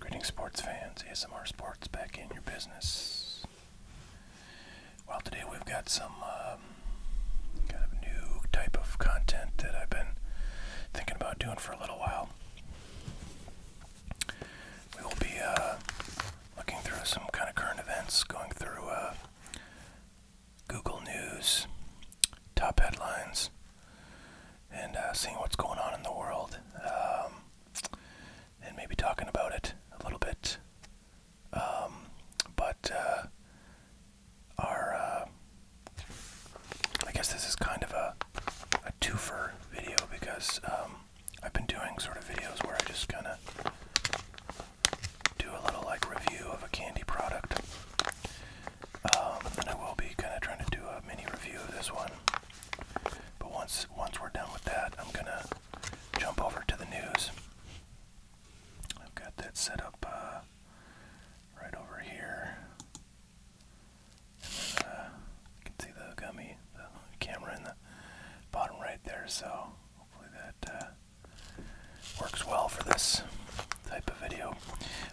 Greetings, sports fans. ASMR Sports back in your business. Well, today we've got some um, kind of new type of content that I've been thinking about doing for a little while. We will be uh, looking through some kind of current events, going through uh, Google News top headlines and uh, seeing what's going on in the world um, and maybe talking about it a little bit. Um, but uh, our, uh, I guess this is kind of a, a twofer video because um, I've been doing sort of videos where I just kind of do a little like review of a candy product. Um, I will be kind of trying to do a mini review of this one. But once once we're done with that, I'm gonna jump over to the news. I've got that set up uh, right over here. Uh, you can see the gummy, the camera in the bottom right there. So hopefully that. Uh, works well for this type of video.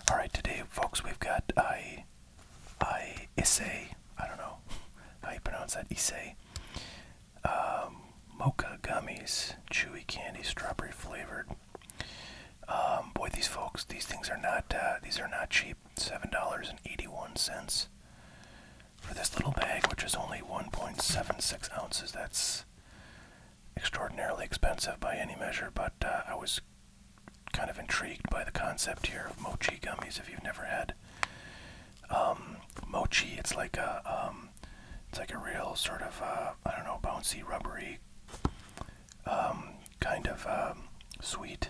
All right, today, folks, we've got I, I Issei. I don't know how you pronounce that. Issei. Um, mocha gummies, chewy candy, strawberry flavored. Um, boy, these folks, these things are not. Uh, these are not cheap. Seven dollars and eighty-one cents for this little bag, which is only 1.76 ounces. That's extraordinarily expensive by any measure, but uh, I was kind of intrigued by the concept here of mochi gummies. If you've never had um, mochi, it's like a um, it's like a real sort of uh, I don't know bouncy, rubbery um, kind of sweet.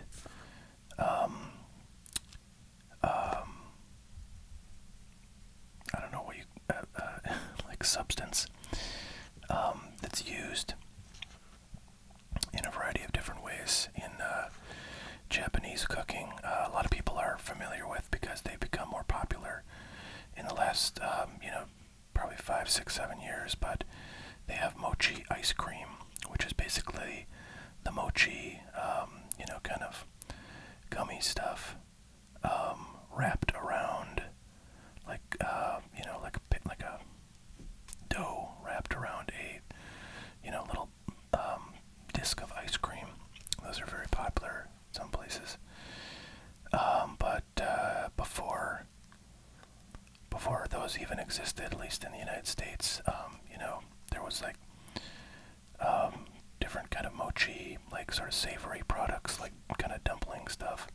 I don't know what you uh, uh, like substance um, that's used in a variety of different ways in uh, Japanese cooking. a lot of people are familiar with because they've become more popular in the last, um, you know, probably five, six, seven years. But they have mochi ice cream, which is basically the mochi, um, you know, kind of gummy stuff um, wrapped around like uh, you know like a like a dough wrapped around a you know little um, disc of ice cream. Those are very popular in some places. Um, but uh, before before those even existed, at least in the United States, you know there was like um, different kind of mochi, like sort of savory products, like kind of dumpling stuff.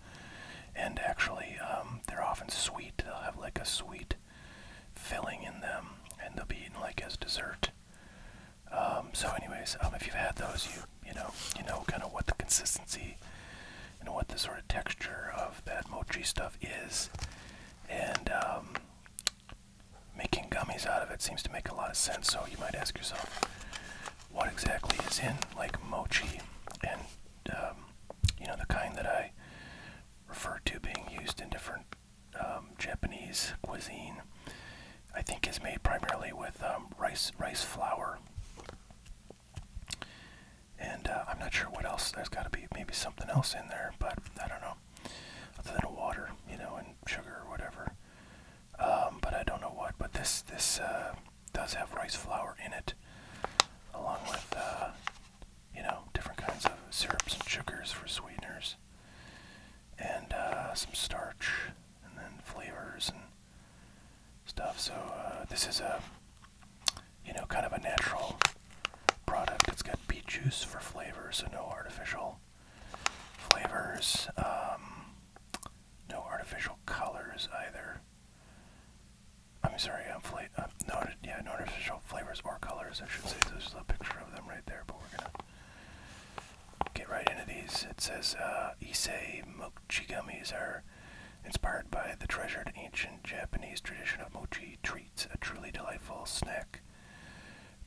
And actually, um, they're often sweet. They'll have like a sweet filling in them, and they'll be eaten like as dessert. Um, so, anyways, if you've had those, you you know you know kind of what the consistency and what the sort of texture of that mochi stuff is, and making gummies out of it seems to make a lot of sense. So you might ask yourself, what exactly is in like mochi, and um, you know the kind that I refer to being used in different um, Japanese cuisine. I think is made primarily with um, rice rice flour. And uh, I'm not sure what else. There's got to be maybe something else in there, but I don't know. Other than water, you know, and sugar or whatever um, but I don't know what. But this this uh, does have rice flour in it, along with uh, you know different kinds of syrups and sugars for sweeteners, and uh, some starch, and then flavors and stuff. So this is a you know kind of a natural product. It's got beet juice for flavor, so no artificial flavors. Um, no artificial colors either. I'm sorry, I'm fla uh, no, yeah, no artificial flavors or colors, I should say. there's a picture of them right there, but we're gonna get right into these. It says uh, Issei mochi gummies are inspired by the treasured ancient Japanese tradition of mochi treats, a truly delightful snack.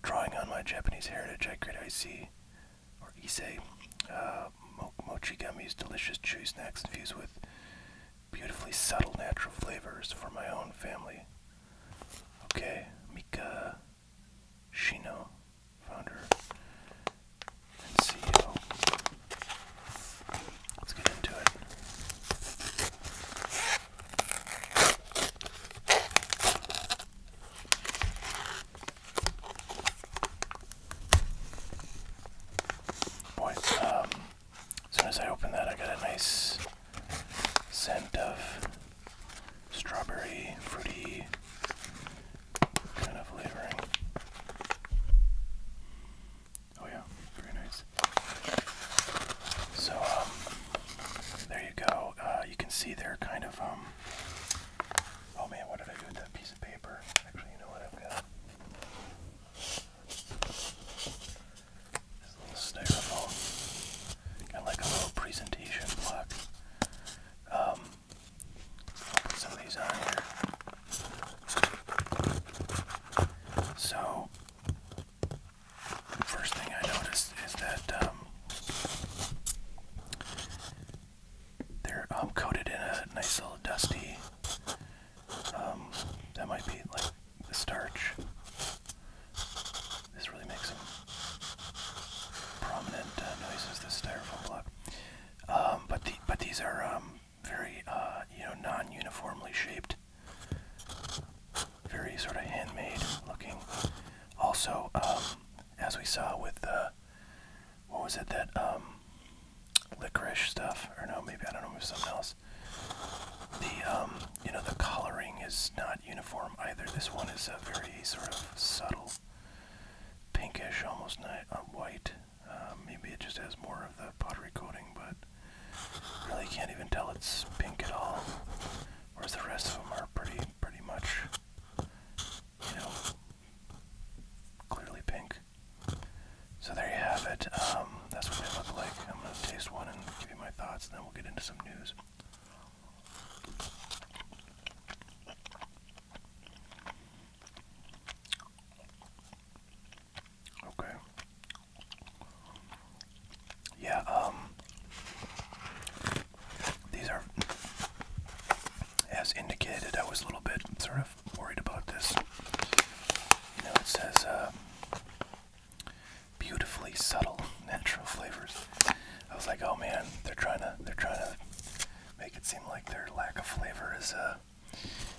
Drawing on my Japanese heritage, I create see or Issei. Uh, mochi gummies, delicious chewy snacks infused with beautifully subtle natural flavors for my own family. Okay, Mika Shino, founder and CEO. Let's get into it. Boy, um, as soon as I open that, I get a nice scent of strawberry, fruity kind of flavoring. Oh yeah, very nice. So um, there you go. Uh, you can see they're kind of um, Oh man, what did I do with that piece of paper? Actually, you know what? I've got this little styrofoam. Got like a little presentation block. Um, put some of these on here. So, first thing I noticed is that um, they're um, coated in a nice little dusty. Um, that might be like the starch. This really makes some prominent uh, noises. This styrofoam block, um, but but these are very uh, you know non-uniformly shaped, very sort of handmade looking. Also, as we saw with what was it that um, licorice stuff or no maybe I don't know it was something else. The um, you know the coloring is not uniform either. This one is a very sort of subtle pinkish, almost uh, white. Uh, maybe it just has more of the pottery coating, but really can't even tell it's pink at all. Whereas the rest of them are pretty pretty much clearly pink. So there you have it. Um, that's what they look like. I'm gonna taste one and give you my thoughts, and then we'll get into some news. Okay. Yeah, um, these are, as indicated, I was a little bit sort of worried about this. You know, it says uh, beautifully subtle natural flavors. I was like, oh man, they're trying to they're trying to make it seem like their lack of flavor is a, uh,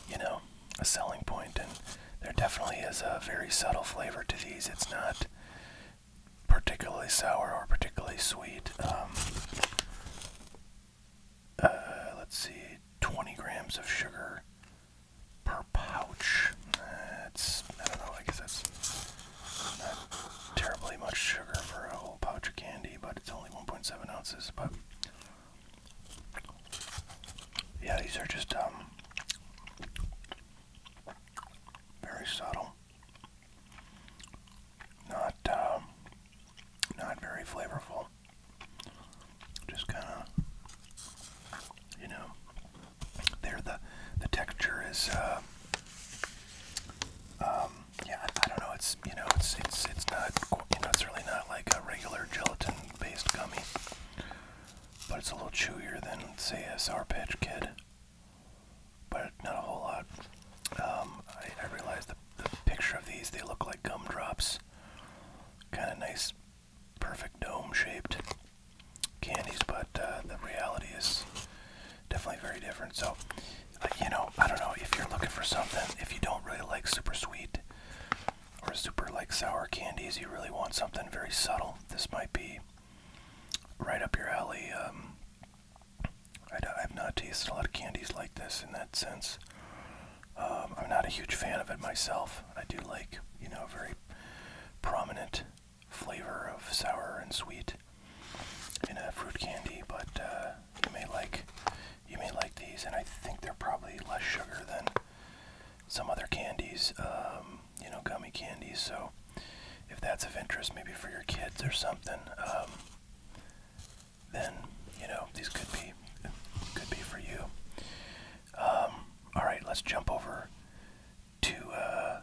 you know, a selling point, and there definitely is a very subtle flavor to these. It's not particularly sour or particularly sweet. Um, uh, let's see, 20 grams of sugar per pouch. That's, I don't know, I guess that's not terribly much sugar for a whole pouch of candy, but it's only 1.7 ounces. But yeah, these are just um, very subtle. Not, um, not very flavorful. Just kind of, you know, there the the texture is. Uh, um, yeah, I, I don't know. It's you know, it's it's it's not you know, it's really not like a regular gelatin-based gummy, but it's a little chewier than say a Sour Patch Kid but not a whole lot. Um, I, realize the, picture of these, they look like gumdrops. Kind of nice, perfect dome shaped candies, but uh, the reality is definitely very different. So, uh, you know, I don't know if you're looking for something, if you don't really like super sweet or super like sour candies, you really want something very subtle. This might be right up your alley. Um, I have not tasted a lot of candies like this in that sense. Um, I'm not a huge fan of it myself. I do like, you know, a very prominent flavor of sour and sweet in a fruit candy, but uh, you may like you may like these, and I think they're probably less sugar than some other candies. Um, you know, gummy candies. So if that's of interest, maybe for your kids or something, um, then you know these could be could be for you. Um, all right, let's jump over to uh,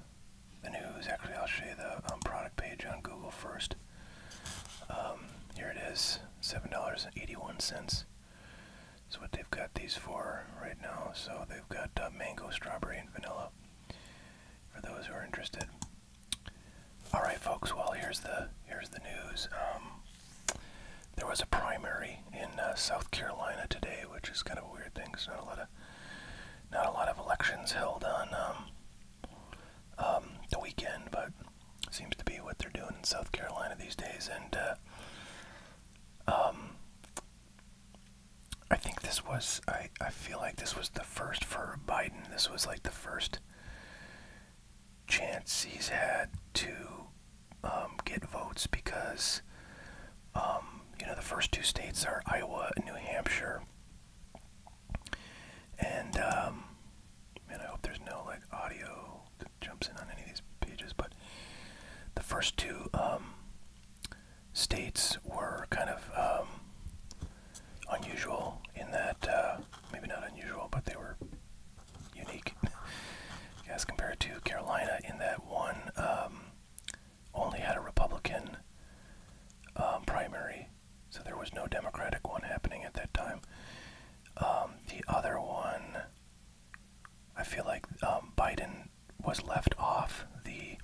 the news. Actually, I'll show you the um, product page on Google first. Um, here it is, seven dollars and eighty-one cents. That's what they've got these for right now. So they've got uh, mango, strawberry, and vanilla for those who are interested. All right, folks. Well, here's the here's the news. Um, there was a primary in uh, South Carolina today, which is kind of a weird thing. There's not a lot of not a lot of elections held on um, um, the weekend, but seems to be what they're doing in South Carolina these days. And uh, um, I think this was I I feel like this was the first for Biden. This was like the first chance he's had to um, get votes because um, you know the first two states are Iowa and New Hampshire. And um, man, I hope there's no like audio jumps in on any of these pages. But the first two states were kind of um, unusual in that, uh, maybe not unusual, but they were unique as compared to Carolina in that one um, only had a Republican um, primary, so there was no Democratic one happening at that time. the other one, I feel like Biden was left off the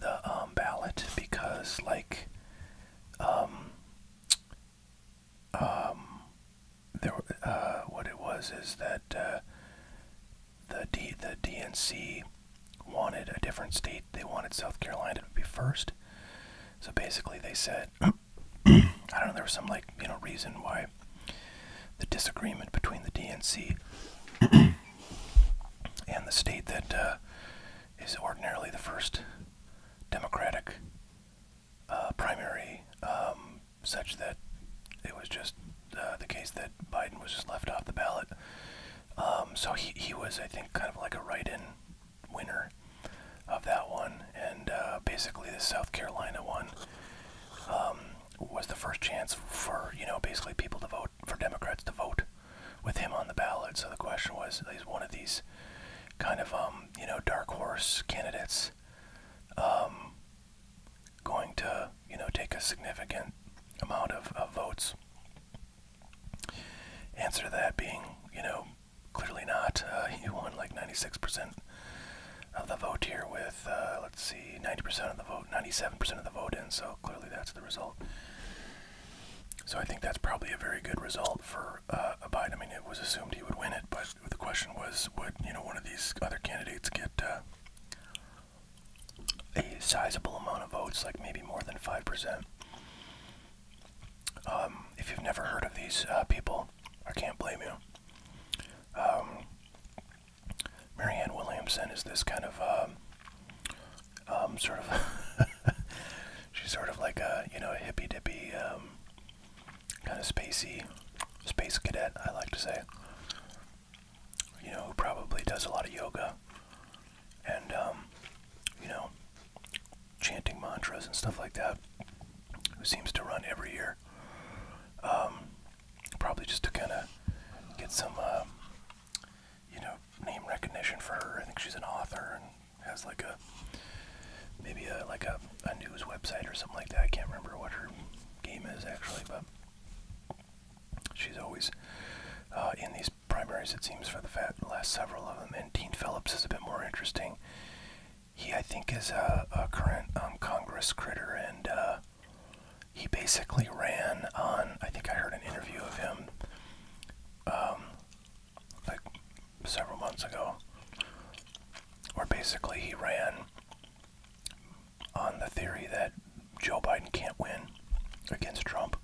the um, ballot because like um, um there uh what it was is that uh, the D the DNC wanted a different state they wanted South Carolina to be first so basically they said I don't know there was some like you know reason why the disagreement between the DNC and the state that uh, is ordinarily the first Democratic uh, primary, um, such that it was just uh, the case that Biden was just left off the ballot. Um, so he, was, I think, kind of like a write in winner of that one. And basically, the South Carolina one um, was the first chance for, you know, basically people to vote for Democrats to vote with him on the ballot. So the question was, is one of these kind of um, you know dark horse candidates um, going to you know take a significant amount of, votes? Answer to that being you know clearly not. Uh, he won like 96% of the vote here with uh, let's see, 90% of the vote, 97% of the vote in, so clearly that's the result. So I think that's probably a very good result for uh, Biden. I mean, it was assumed he would win it, but the question was, would you know one of these other candidates get uh, a sizable amount of votes, like maybe more than five percent? Um, if you've never heard of these uh, people, I can't blame you. Um, Marianne Williamson is this kind of um, um, sort of she's sort of like a you know a hippy dippy um, kind of spacey space cadet I like to say you know who probably does a lot of yoga and um, you know chanting mantras and stuff like that who seems to run every year um, probably just to kind of get some uh, you know, name recognition for her. I think she's an author and has like a maybe a like a, a news website or something like that. I can't remember what her game is actually, but she's always uh, in these primaries. It seems for the, fat, the last several of them. And Dean Phillips is a bit more interesting. He, I think, is a, a current um, Congress critter and uh, he basically ran on. I think I heard an interview of him, um, like several months ago, where basically he ran on the theory that Joe Biden can't win against Trump,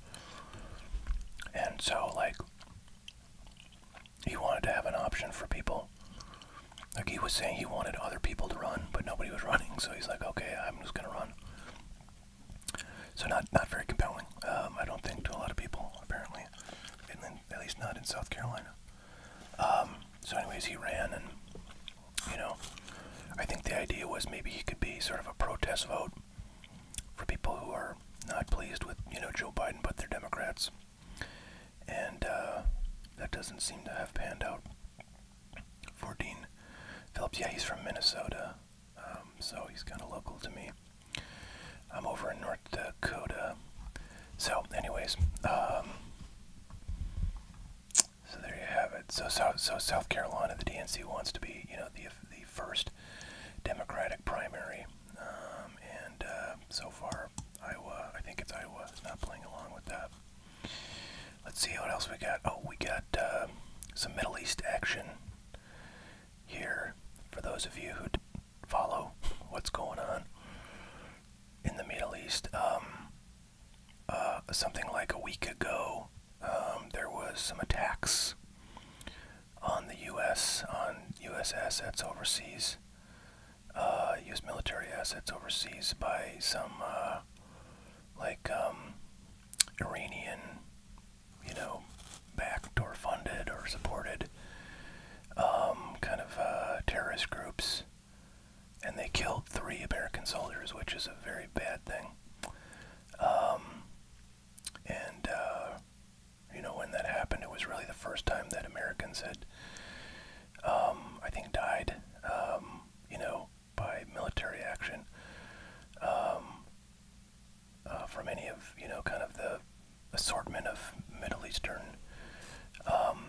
and so like he wanted to have an option for people. Like he was saying, he wanted other people to run, but nobody was running, so he's like, okay, I'm just gonna run. So not not very compelling. Um, I don't think to a lot of people apparently, and then, at least not in South Carolina. Um, so anyways, he ran, and you know, I think the idea was maybe he could be sort of a protest vote for people who are not pleased with you know Joe Biden, but they're Democrats, and uh, that doesn't seem to have panned out. 14. Phillips, yeah, he's from Minnesota, um, so he's kind of local to me. I'm over in North Dakota. So, anyways, um, so there you have it. So, so, so South Carolina, the DNC wants to be, you know, the the first Democratic primary, um, and uh, so far, Iowa, I think it's Iowa, is not playing along with that. Let's see what else we got. Oh, we got uh, some Middle East action here for those of you who follow what's going on in the Middle East. Um, uh, something like a week ago, um, there was some attacks on the U.S. on U.S. assets overseas, U.S. Uh, military assets overseas by some like um, Iranian, you know, backed or funded or supported um, kind of uh, terrorist groups. And they killed three American soldiers, which is a very bad thing. Um, and, uh, you know, when that happened, it was really the first time that Americans had, um, I think, died, you know, by military action um, uh, from any of you know kind of the assortment of Middle Eastern um,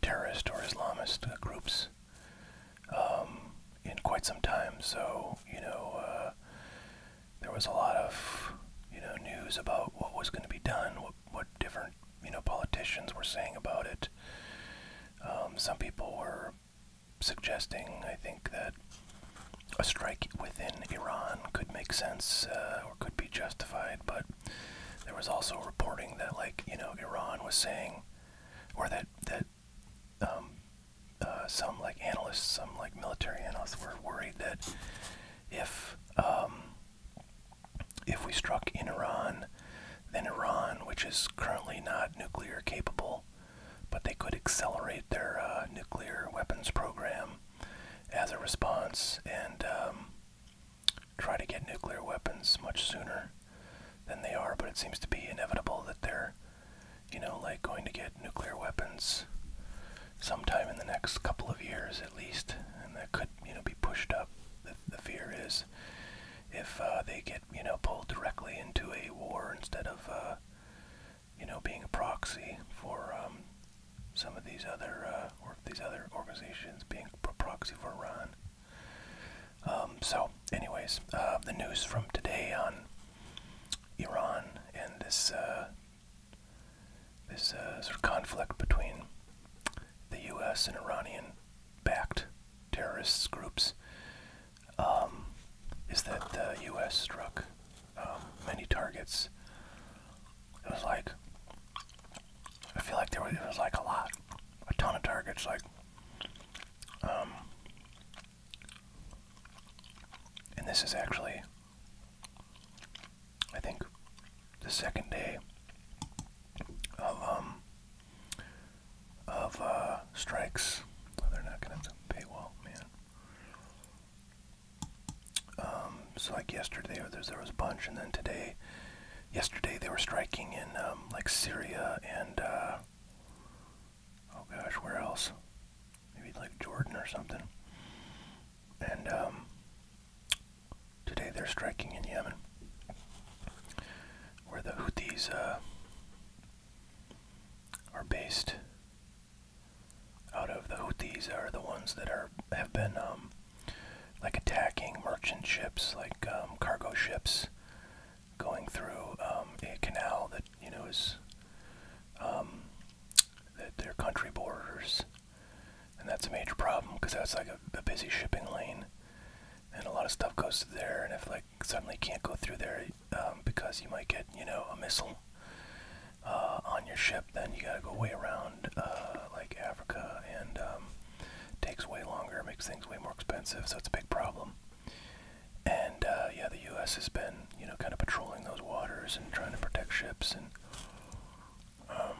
terrorist or Islamist groups um, in quite some time. So you know uh, there was a lot of you know news about what was going to be done, what what different you know politicians were saying about it. Um, some people were suggesting, I think, that a strike within Iran could make sense uh, or could be justified, but there was also reporting that, like, you know, Iran was saying, or that that um, uh, some like analysts, some like military analysts, were worried that if um, if we struck in Iran, than Iran, which is currently not nuclear capable, but they could accelerate their uh, nuclear weapons program as a response and um, try to get nuclear weapons much sooner than they are. But it seems to be inevitable that they're, you know, like going to get nuclear weapons sometime in the next couple of years at least, and that could, you know, be pushed up. The, the fear is if uh, they get you know pulled directly into a war instead of uh, you know being a proxy for um, some of these other uh, or these other organizations being proxy for Iran. Um, so, anyways, uh, the news from today on Iran and this this sort of conflict between the U.S. and Iranian-backed terrorist groups um, is that the U.S. struck um, many targets. It was like I feel like there was, it was like a lot, a ton of targets. Like, um, and this is actually, I think, the second day of of uh, strikes. Oh, they're not going to have a man. Um, so like yesterday, there, was a bunch, and then today, yesterday they were striking in um, like Syria and uh, oh gosh, where else? Maybe like Jordan or something. And um, today they're striking in Yemen where the Houthis uh, are based out of. The Houthis are the ones that are have been um, like attacking merchant ships, like um, cargo ships, going through um, a canal that you know is that their country borders, and that's a major problem because that's like a busy shipping lane and a lot of stuff goes through there. And if like suddenly can't go through there um, because you might get you know a missile uh, on your ship, then you gotta go way around uh, like Africa, and um, takes way longer, makes things way more expensive. So it's a big problem. And uh, yeah, the U.S. has been you know kind of patrolling those waters and trying to protect ships and. Um,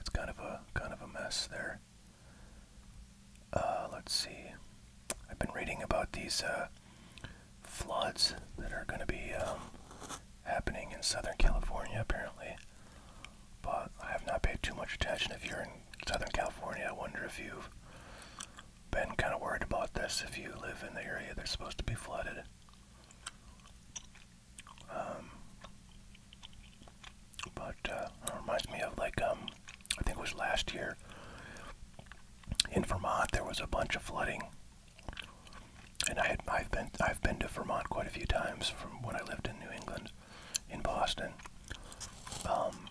it's kind of a kind of a mess there. Uh, let's see. I've been reading about these uh, floods that are going to be um, happening in Southern California, apparently. But I have not paid too much attention. If you're in Southern California, I wonder if you've been kind of worried about this. If you live in the area that's supposed to be flooded. Um, but uh, it reminds me of like um, I think it was last year in Vermont there was a bunch of flooding, and I had I've been I've been to Vermont quite a few times from when I lived in New England, in Boston. Um,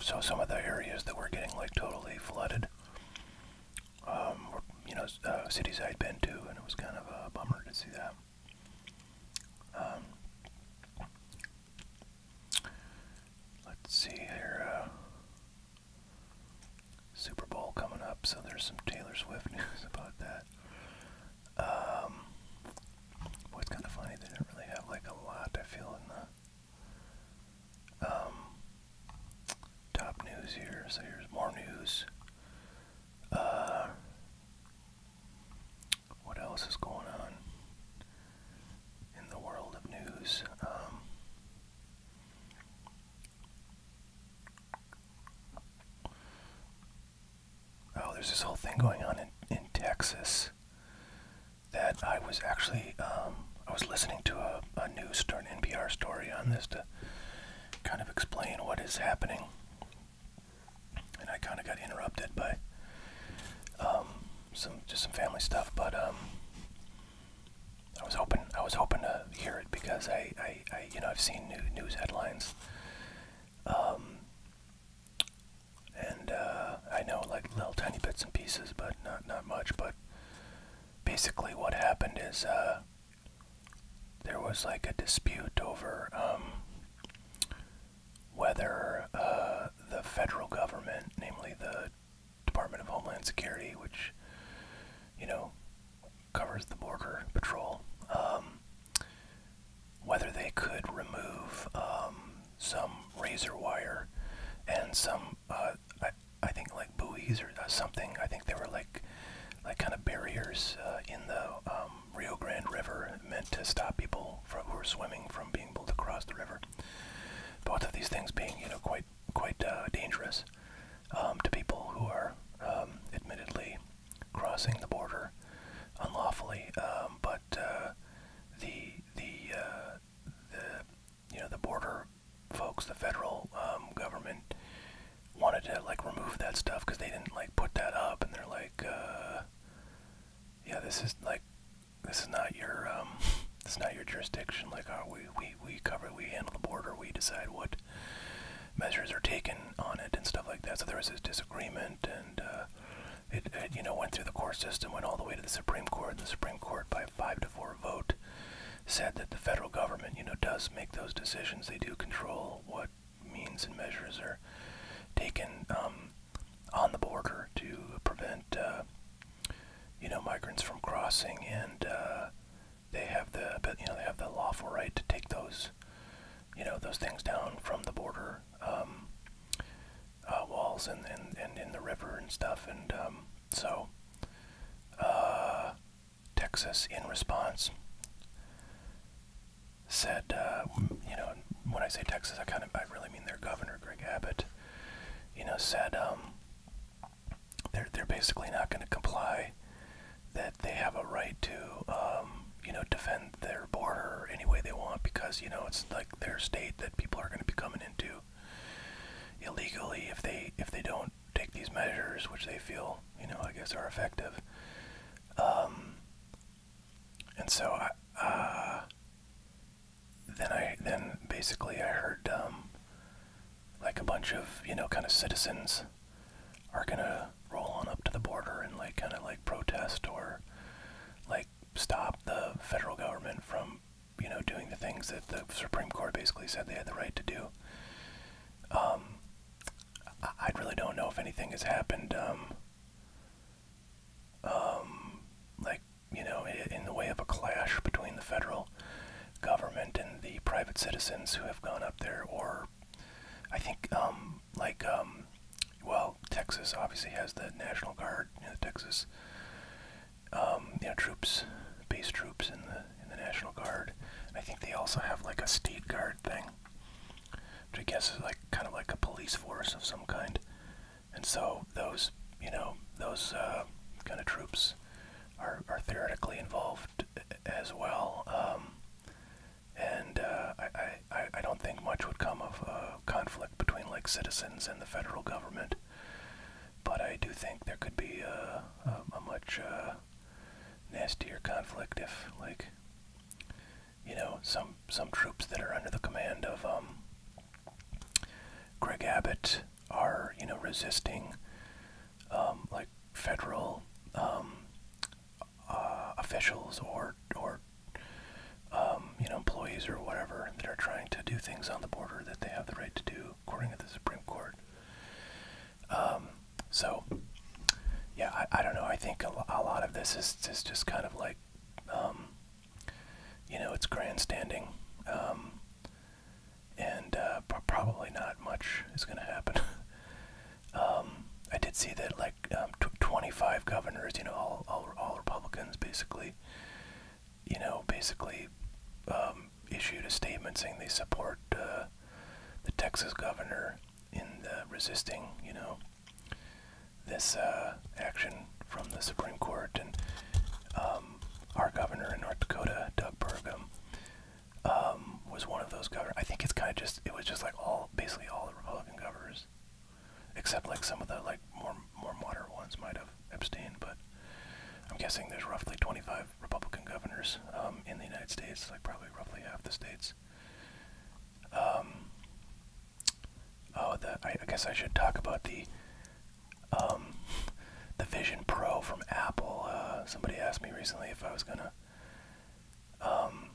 so some of the areas that were getting like totally flooded, um, were, you know, uh, cities I'd been to, and it was kind of a bummer to see that. Um, let's see here. Uh, Super Bowl coming up, so there's some Taylor Swift news about that. Um, well, it's kind of funny they didn't really have like a lot. I feel in the um, top news here. So here's more news. Uh, what else is going on in the world of news? Um, oh, there's this whole thing going on in, in Texas that I was actually um, I was listening to a, a news story, an NPR story on this to kind of explain what is happening and I kind of got interrupted by um, some just some family stuff, but um, I was hoping I was hoping to hear it because I, I, you know I've seen new news headlines, um, and uh, I know like little tiny bits and pieces, but not not much. But basically, what happened is uh, there was like a dispute over. Um, whether uh, the federal government, namely the Department of Homeland Security, which, you know, covers the Border Patrol, um, whether they could remove um, some razor wire and some, uh, I, think, like buoys or uh, something. I think they were like, like kind of barriers in the um, Rio Grande River meant to stop people from, who were swimming from being able to cross the river. Both of these things being, you know, quite quite uh, dangerous um, to people who are um, admittedly crossing the border unlawfully. Um, but uh, the the uh, the you know the border folks, the federal um, government wanted to like remove that stuff because they didn't like put that up, and they're like, uh, yeah, this is like, this is not your, um, it's not your jurisdiction. Like, oh, we, we, we cover, we handle the border, we decide what measures are taken on it and stuff like that. So there was this disagreement, and uh, it, it, you know, went through the court system, went all the way to the Supreme Court. The Supreme Court, by a five to four vote, said that the federal government, you know, does make those decisions. They do control what means and measures are taken um, on the border to prevent, uh, you know, migrants from crossing, and uh, they have the, you know, they have the lawful right to take those, you know, those things down from the border um, uh, walls and, and and in the river and stuff, and um, so uh, Texas in response said, uh, you know, when I say Texas, I kind of, I really mean their governor, Greg Abbott, you know, said um, they're, they're basically not going to comply, that they have a right to, um, you know, defend their border any way they want because, you know, it's like their state that people are going to be coming into illegally if they, if they don't take these measures, which they feel, you know, I guess are effective. Um, and so I, uh, then I then basically I heard um, like a bunch of you know kind of citizens are gonna roll on up to the border and like kind of like protest or like stop the federal government from you know doing the things that the Supreme Court basically said they had the right to do. Um, I, I really don't know if anything has happened. Um, um, like you know, in the way of a clash between the federal government and the private citizens who have gone up there, or I think um, like um, well, Texas obviously has the National Guard, you know, the Texas um, you know troops, base troops in the in the National Guard. And I think they also have like a state guard thing. I guess is like kind of like a police force of some kind. And so those, you know, those uh, kind of troops are, are theoretically involved as well. Um, and uh, I, I, I don't think much would come of a uh, conflict between like citizens and the federal government. But I do think there could be a, much nastier conflict if like you know some some troops that are under the command of um, Greg Abbott are you know resisting um, like federal um, uh, officials or or you know employees or whatever that are trying to do things on the border that they have the right to do according to the Supreme Court. so yeah, I, I don't know. I think a, a lot of this is, is just kind of like, um, you know, it's grandstanding. Um, and uh, probably not much is going to happen. um, I did see that like um, tw 25 governors, you know, all, all, all Republicans basically, you know, basically um, issued a statement saying they support uh, the Texas governor in the resisting, you know, this uh, action from the Supreme Court and um, our governor in North Dakota, Doug Burgum, um, was one of those governors. I think it's kind of just it was just like all basically all the Republican governors, except like some of the like more more moderate ones might have abstained. But I'm guessing there's roughly 25 Republican governors um, in the United States, like probably roughly half the states cards. Um, oh, the, I, I guess I should talk about the um, the Vision Pro from Apple. Uh, somebody asked me recently if I was gonna um,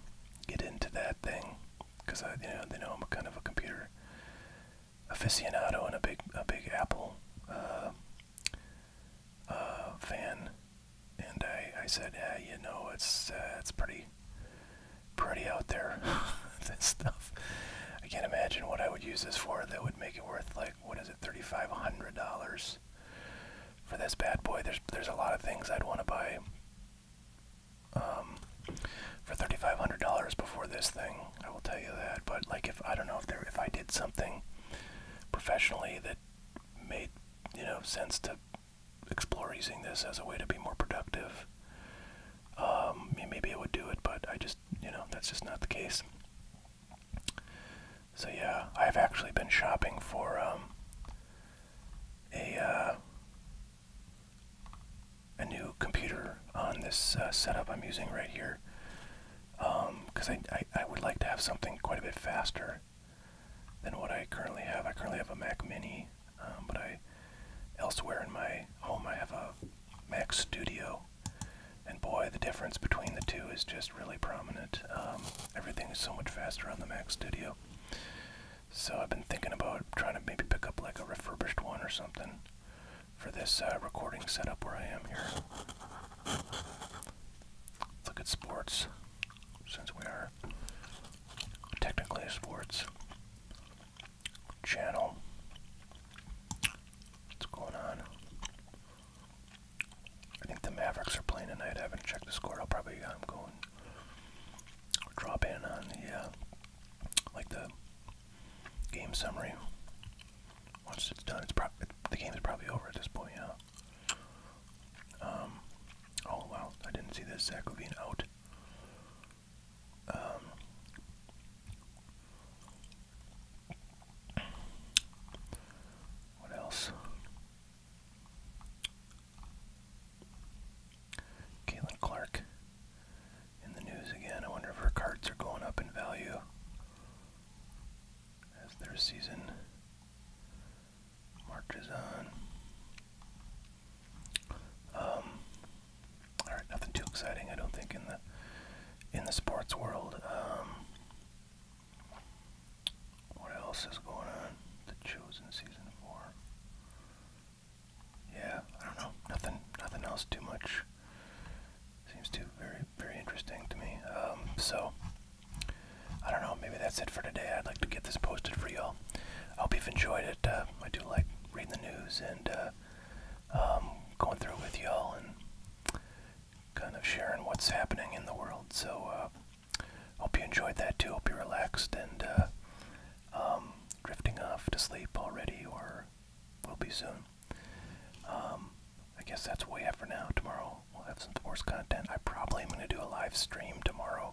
get into that thing because you know they know I'm a kind of a computer aficionado and a big a big Apple uh, uh, fan and I, I said, yeah, you know, it's uh, it's pretty pretty out there, this stuff. I can't imagine what I would use this for that would make it worth like what is it, thirty five hundred dollars for this bad boy. There's there's a lot of things I'd want to buy um, for thirty five hundred dollars before this thing. I will tell you that. But like if I don't know if there if I did something professionally that made you know sense to explore using this as a way to be more productive. Um, maybe I would do it, but I just, you know, that's just not the case. So yeah, I've actually been shopping for um, a uh, a new computer on this uh, setup I'm using right here because um, I, I would like to have something quite a bit faster than what I currently have. I currently have a Mac Mini, um, but I elsewhere in my home I have a Mac Studio, and boy, the difference between the two is just really prominent. Um, everything is so much faster on the Mac Studio. So I've been thinking about trying to maybe pick up like a refurbished one or something for this uh, recording setup where I am here. look at sports since we are technically a sports channel. What's going on? I think the Mavericks are playing tonight. I haven't checked the score. I'll probably I'm uh, drop in on the uh, like the game summary once it's done. it's the game is probably over at this point. Yeah. Um, oh wow, I didn't see this Zach Levine out. Um, what else? Caitlin Clark in the news again. I wonder if her cards are going up in value as their season marches on. Um, all right, nothing too exciting, I don't think, in the in the sports world. Um, what else is going on? The Chosen season four. Yeah, I don't know. Nothing, nothing else too much. Seems too very, very interesting to me. Um, so I don't know, maybe that's it for today. I'd like to get this posted for y'all. I hope you've enjoyed it. Uh, I do like reading the news and uh, um, going through with y'all and kind of sharing what's happening in the world. So, uh, hope you enjoyed that too. Hope you're relaxed and uh, um, drifting off to sleep already or will be soon. Um, I guess that's what we have for now. Tomorrow we'll have some sports content. I probably am going to do a live stream tomorrow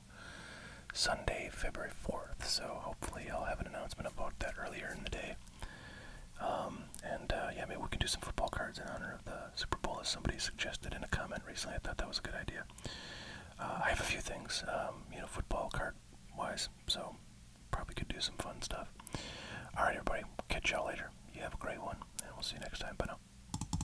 Sunday, February 4th. So hopefully I'll have an announcement about that earlier in the day. Um, and uh, yeah, maybe we can do some football cards in honor of the Super Bowl, as somebody suggested in a comment recently. I thought that was a good idea. Uh, I have a few things, um, you know, football card wise, so probably could do some fun stuff. All right, everybody, catch y'all later. You have a great one, and we'll see you next time. Bye now.